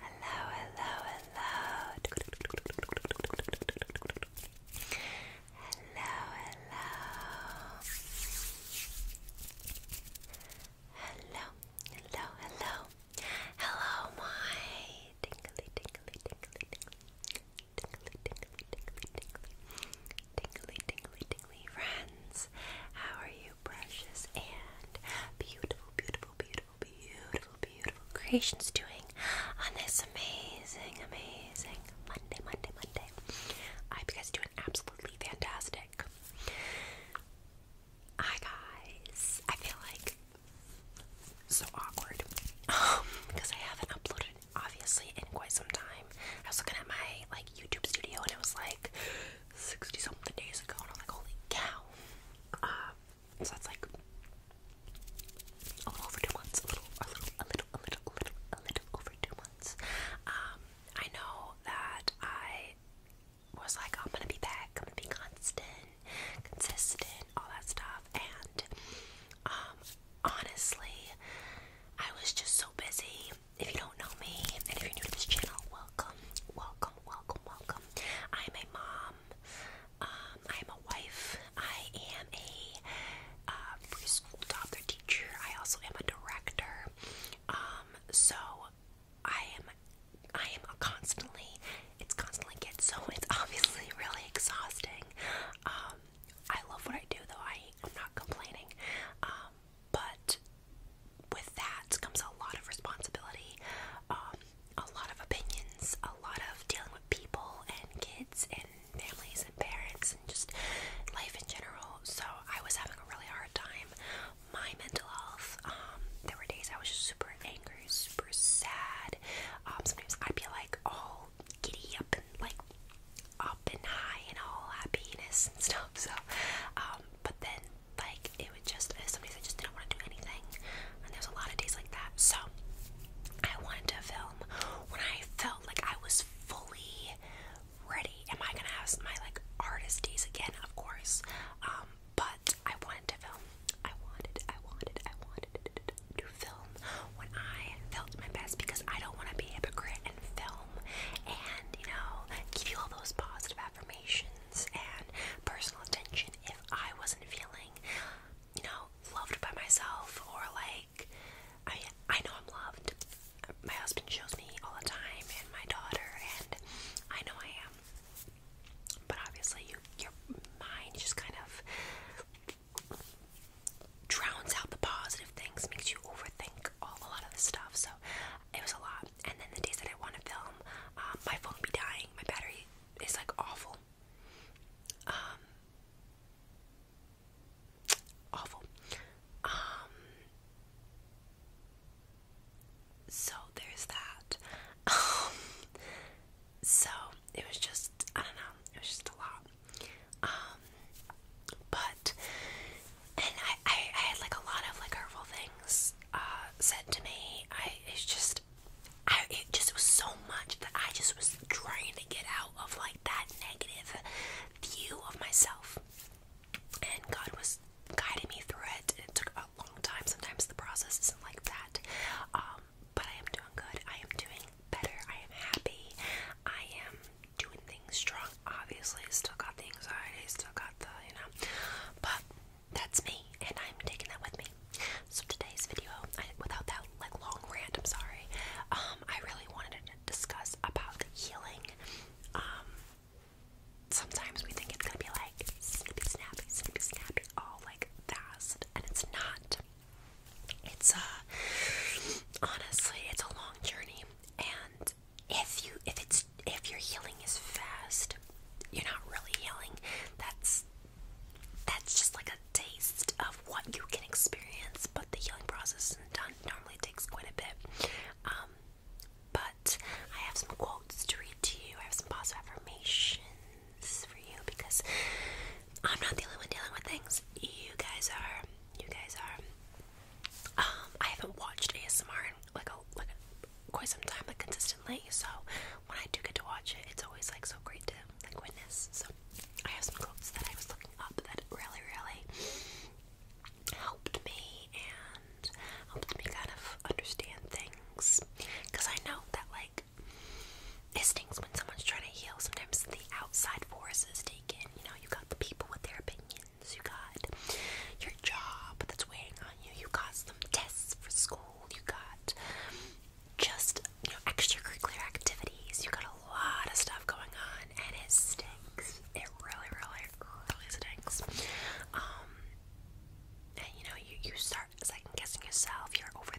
Hello, hello, hello. Hello, hello. Hello, hello, hello. Hello, my tingly, tingly, tingly, tingly tingly, tingly, tingly, tingly, tingly, tingly, tingly friends. How are you, precious and beautiful, beautiful, beautiful, beautiful, beautiful creations doing on this amazing, amazing Monday, Monday, Monday? I hope you guys are doing absolutely fantastic. Hi guys, I feel like so awkward um, because I haven't uploaded obviously in quite some time. I was looking at my like YouTube studio and it was like 60 something days ago and I'm like, holy cow. Um, so that's like over two months, a little, a little, a little, a little, a little, a little over two months. Um, I know that I was like, oh, I'm gonna be back, I'm gonna be constant, consistent, all that stuff, and um, honestly, I was just so busy. If you don't know me, and if you're new to this channel, welcome, welcome, welcome, welcome. I'm a mom. I'm um, a wife. I am a uh, preschool toddler teacher. I also am a director. Um, so I am. I am constantly. It's constantly kids, so it's obviously really exhausting. I love what I do though. I am not complaining. Um, but with that comes a lot of responsibility, um, a lot of opinions, a lot of dealing with people and kids and families and parents and just life in general. So I was having a really hard time. My mental health. Um, there were days I was just super angry, super sad. sometimes I'd be like all giddy up like up and high and all happiness and stuff. So, um, but then like it would just uh, sometimes I just didn't want to do anything, and there's a lot of days like that. So I wanted to film when I felt like I was fully ready. Am I gonna have my like artist days again? Of course, um, but I wanted to film. I wanted, I wanted, I wanted, to film when I felt my best because I don't want to be a hypocrite and film and, you know, give you all those positive affirmations and personal attention if I wasn't feeling, you know, loved by myself or like, I, I know I'm loved. My husband shows me all the time and my daughter, and I know I am. But obviously, you, your mind just kind of drowns out the positive things, makes you overthink all a lot of the stuff. So it was a lot. And then the days that I want to film, um, my phone be dying. My battery is like awful. Um, awful. Um, so there's that. Um, so it was just, I don't know, it was just a lot. Um, but and I, I I had like a lot of like hurtful things uh said to me. I it's just I it just was so much that I just was trying to get out of like that negative view of myself. And God was guiding me through it. It took a long time. Sometimes the process isn't like that. Um, but I am doing good. I am doing better. I am happy. I am doing things strong. Obviously, still got the anxiety, still got the, you know, but that's me, and I'm taking that with me. So today's video, I, without that like long rant, I'm sorry. Um, I really wanted to discuss about healing. Um, sometimes we think it's gonna be like snippy, snappy, snippy, snappy, all like fast, and it's not. It's uh honestly it's a long journey and if you if it's if your healing is fast, you're not really healing. That's that's just like a taste of what you can experience, but the healing process done normally takes quite a bit. Um, but I have some quotes to read to you. I have some positive affirmations for you because I'm not the only one dealing with things. You guys are. You guys are. Um, I haven't watched ASMR in like a like a, quite some time, like consistently. So when I do get to watch it, it's always like so great to like witness. So I have some quotes that I was looking up that really, really helped me and helped me kind of understand things. Cause I know that like it stinks when someone's trying to heal. Sometimes the outside forces take in. You know, you got the people with their opinions. You got your job that's weighing on you. You got some tests for school. You got just you know extracurricular activities. You got a lot of stuff going on, and it stinks. It really, really, really stinks. Um, and you know, you you start second guessing yourself. You're over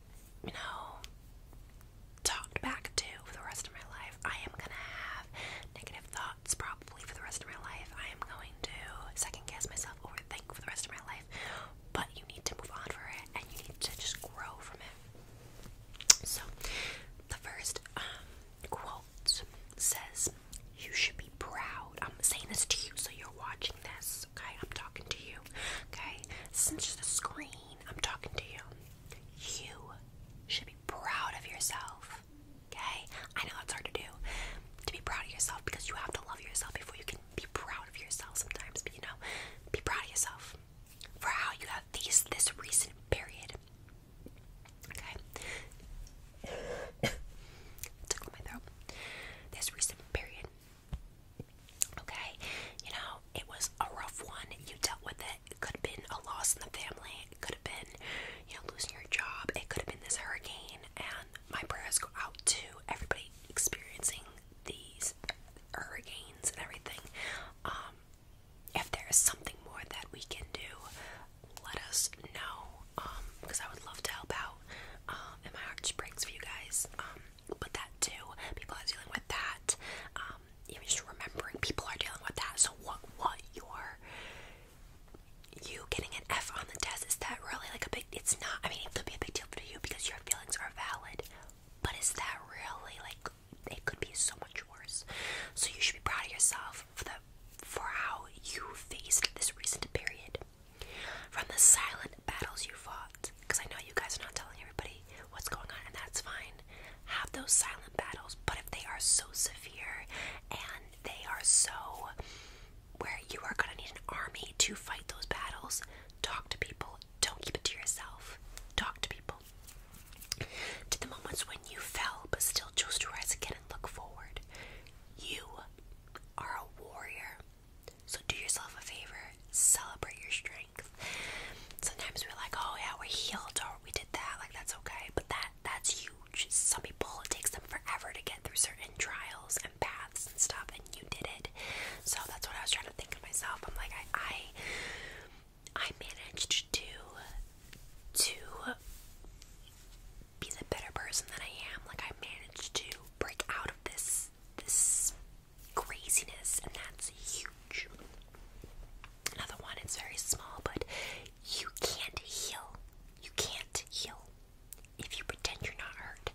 you know, talked back to for the rest of my life. I am gonna have negative thoughts probably for the rest of my life. I am going to second guess myself, overthink for the rest of my life. But you need to move on for it, and you need to just grow from it. So, the first um, quote says, "You should be proud." I'm saying this to you, so you're watching this. Okay, I'm talking to you. Okay, Since the screen. I'm talking to you. You should be proud of yourself. Okay? I know that's hard to do. To be proud of yourself because you have to love yourself before you can be proud of yourself sometimes. But you know, be proud of yourself for how you have faced this recent period. Okay? Tickle my throat. This recent period. Okay, you know, it was a rough one. You dealt with it. It could have been a loss in the family. It could have been, you know, losing your job. It could have been this hurricane. And my prayers go out to everybody experiencing these hurricanes and everything. Um, if there is something more that we can do, let us know. because um, I would love to help out. Um, and my heart just breaks for you guys. but that too, people are dealing with that even just remembering people are dealing with that. So what what your you getting an F on the test is that really like a big it's not I mean it could be a big deal for you because your feelings are valid, but is that really like it could be so much worse. So you should be proud of yourself for the for how you faced this recent period. From the silent battles you fought, because I know you guys are not telling everybody what's going on, and that's fine. Have those silent battles, but if they are so severe and they are so where you are gonna need an army to fight those battles, talk to people. Don't keep it to yourself. Talk to people. To the moments when you fell but still chose to rise again and look forward. You are a warrior. So do yourself a favor, celebrate your strength. Sometimes we're like, oh yeah, we're healed or we did that, like that's okay. But that that's huge. Some people it takes them forever to get through certain trials and paths and stuff, and you did it. So that's what I was trying to think of myself. I'm like, I I, I managed to to be the better person that I am. Like I managed to break out of this this craziness, and that's huge. Another one, it's very small, but you can't heal. You can't heal if you pretend you're not hurt.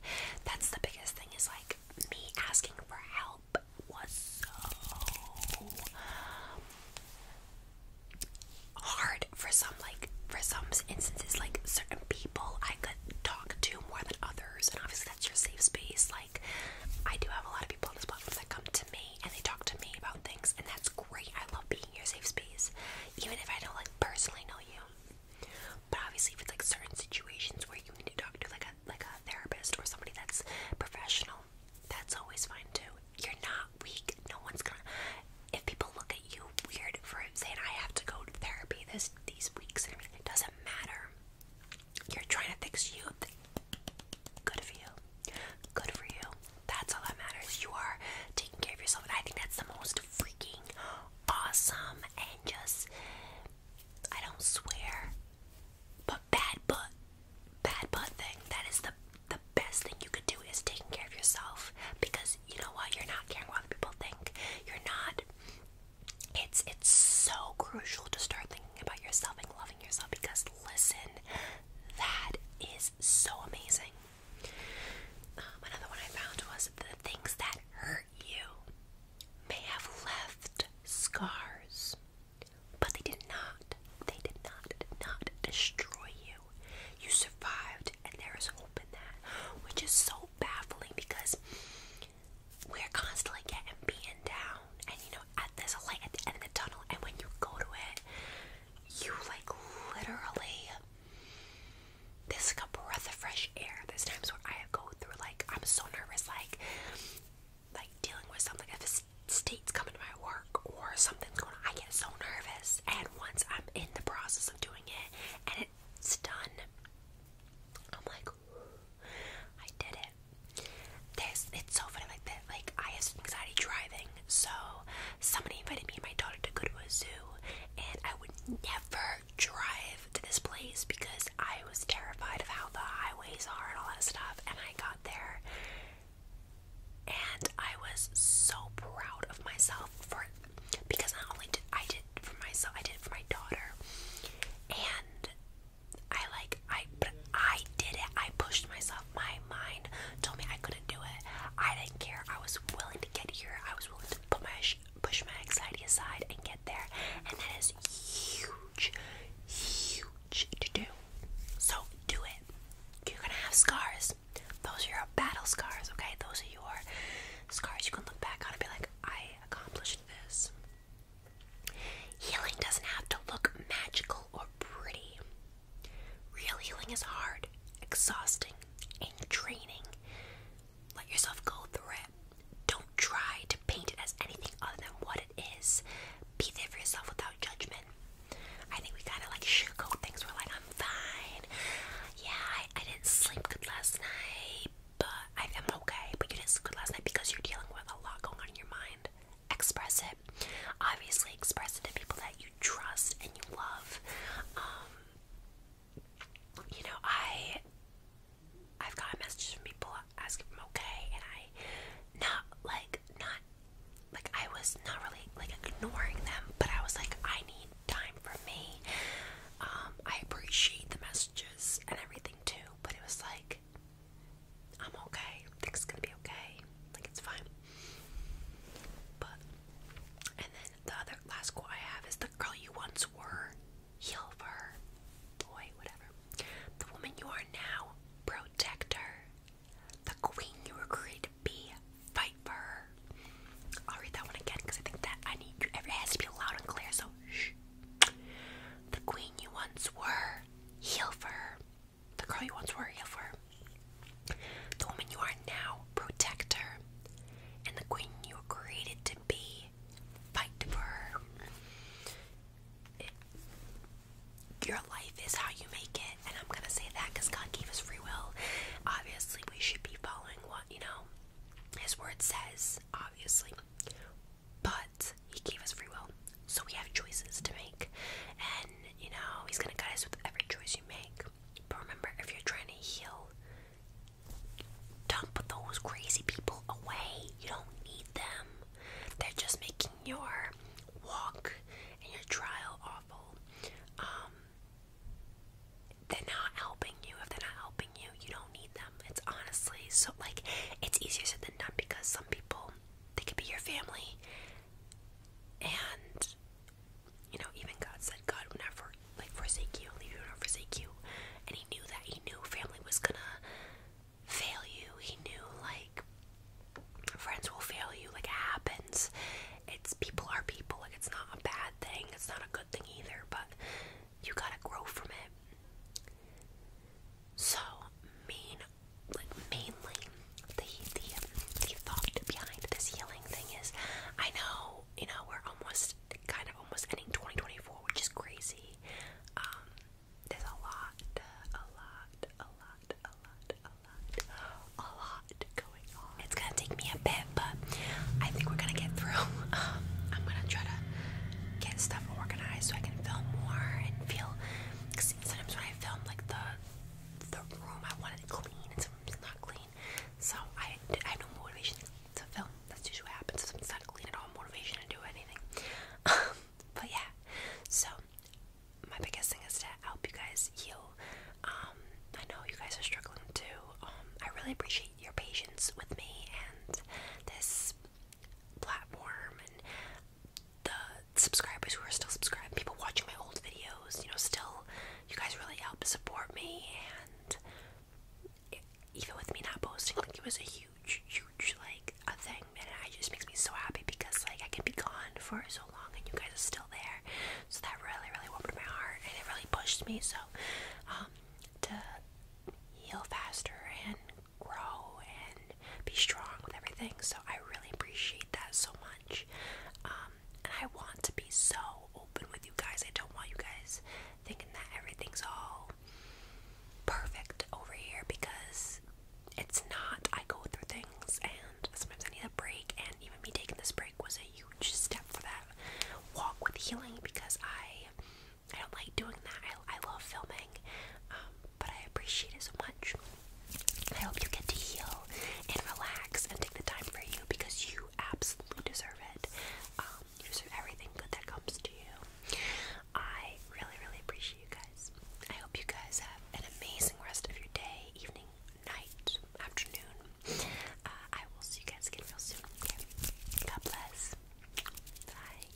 That's the biggest thing is like me asking for help was so hard for some like for some instances like certain people I could talk to more than others and obviously that's your safe space Like. I do have a lot of people on this platform that come to me and they talk to me about things, and that's great. I love being your safe space, even if I don't like personally know you. But obviously, if it's like certain situations where you need to talk to like a like a therapist or somebody that's professional, that's always fine too. You're not weak. No one's gonna. If people look at you weird for saying I have to go to therapy this these weeks, and everything, it doesn't matter. You're trying to fix you. Good for you. Good for you. That's all that matters. You are taking care of yourself. And I think that's the most freaking awesome and just, I don't swear, but bad butt, bad butt thing. That is the, the best thing you could do is taking care of yourself. Because you know what? You're not caring what other people think. You're not. It's it's so crucial to start thinking about yourself and loving because listen, that is so amazing. Um, another one I found was the things that hurt you may have left scars, but they did not, they did not, not destroy you. You survived, and there is hope in that, which is so baffling because we're constantly getting beaten down, and you know, at this a light at the end of the tunnel, and when you go to it, you like literally there's like a breath of fresh air. There's times where I go through like I'm so nervous, like like dealing with something if a state's coming to my work or something's going on, I get so nervous. And once I'm in the process of doing it, and it's done, I'm like, I did it. This it's so funny like that. Like I have anxiety driving, so somebody invited me and my daughter to go to a Zoo, and I would never drive to this place because I was terrified of how the highways are and all that stuff. And I got there, and I was so proud of myself for because not only did I did for myself, I did for my daughter, and I like I I did it. I pushed myself. My mind told me I couldn't do it. I didn't care. I was willing to get here. I was willing to put push my anxiety aside and get there. And that is huge, huge to do. So do it. You're gonna have scars. Those are your battle scars, okay? Those are your scars you can look back on and be like, I accomplished this. Healing doesn't have to look magical or pretty. Real healing is hard, exhausting, and draining. Let yourself go through it. Don't try to paint it as anything other than what it is. Be there for yourself without judgment. I think we kind of like sugarcoat things. We're like, I'm fine. Yeah, I, didn't sleep good last night, but I, I'm okay. But you didn't sleep good last night because you're dealing with a lot going on in your mind express it. Obviously, express it to people that you trust and you love. Um, you know, I I've gotten messages from people asking okay, and I not like not like I was not really like ignoring them, but I was like, I need time for me. Um, I appreciate the messages and everything too, but it was like I'm okay. Things gonna be okay. Like it's fine. But and then the other last quote I have is the girl you once were, heal her, boy, whatever. The woman you are now, protect her. The queen you were created to be, fight for her. I'll read that one again because I think that I need you. has to be loud and clear. So The queen you once were, heal for her. The girl you once were, heal for her. The woman you are now, protect her. And the queen you were created to be, fight for her. your life is how you make it, and I'm gonna say that because God gave us free will. Obviously, we should be following what you know His Word says. Obviously, but he gave us free will. So we have choices to make. And, you know, he's going to cut us with every choice you make. But remember, if you're trying to heal, dump those crazy people away. You don't need them. They're just making your walk and your trial awful. Um, they're not helping you. If they're not helping you, you don't need them. It's honestly so, like, it's easier said than done because some people they could be your family. And you know, even God said God would never like forsake you, leave you nor forsake you. And he knew that. He knew family was gonna fail you. He knew like friends will fail you, like it happens. It's people are people, like it's not a bad thing, it's not a good thing either, but you gotta grow from it. So main, mainly the the the thought behind this healing thing is, I know you know we're almost kind of almost ending 2024, which is crazy. Um, there's a lot, a lot, a lot, a lot, a lot, a lot going on. It's gonna take me a bit, but I think we're gonna get through. Um, I'm gonna try to get stuff organized so I can film more and feel sometimes when I film like the the room, I want clean, and sometimes it's not clean. So I, I have no motivation to film. That's usually what happens. If it's not clean at all, motivation to do anything. but yeah, so my biggest thing is to help you guys heal. Um, I know you guys are struggling too. Um, I really appreciate your patience with me and this platform and the subscribers who are still subscribed, people watching my old videos, you know, still, you guys really help support me, and even with me not posting, like, it was a huge, huge, like, a thing, and it just makes me so happy because, like, I can be gone for so long, and you guys are still there, so that really, really warmed my heart, and it really pushed me, so, um, to heal faster and grow and be strong with everything. So I really appreciate that so much. Um, and I want to be so open with you guys. I don't want you guys thinking that everything's all perfect over here because it's not. I go through things and sometimes I need a break, and even me taking this break was a huge step for that walk with healing because I I don't like doing that. I, I love filming, um, but I appreciate it so much. I hope you get to heal and relax and take the time for you because you absolutely deserve it. Um, you deserve everything good that comes to you. I really, really appreciate you guys. I hope you guys have an amazing rest of your day, evening, night, afternoon. Uh, I will see you guys again real soon. God bless. Bye.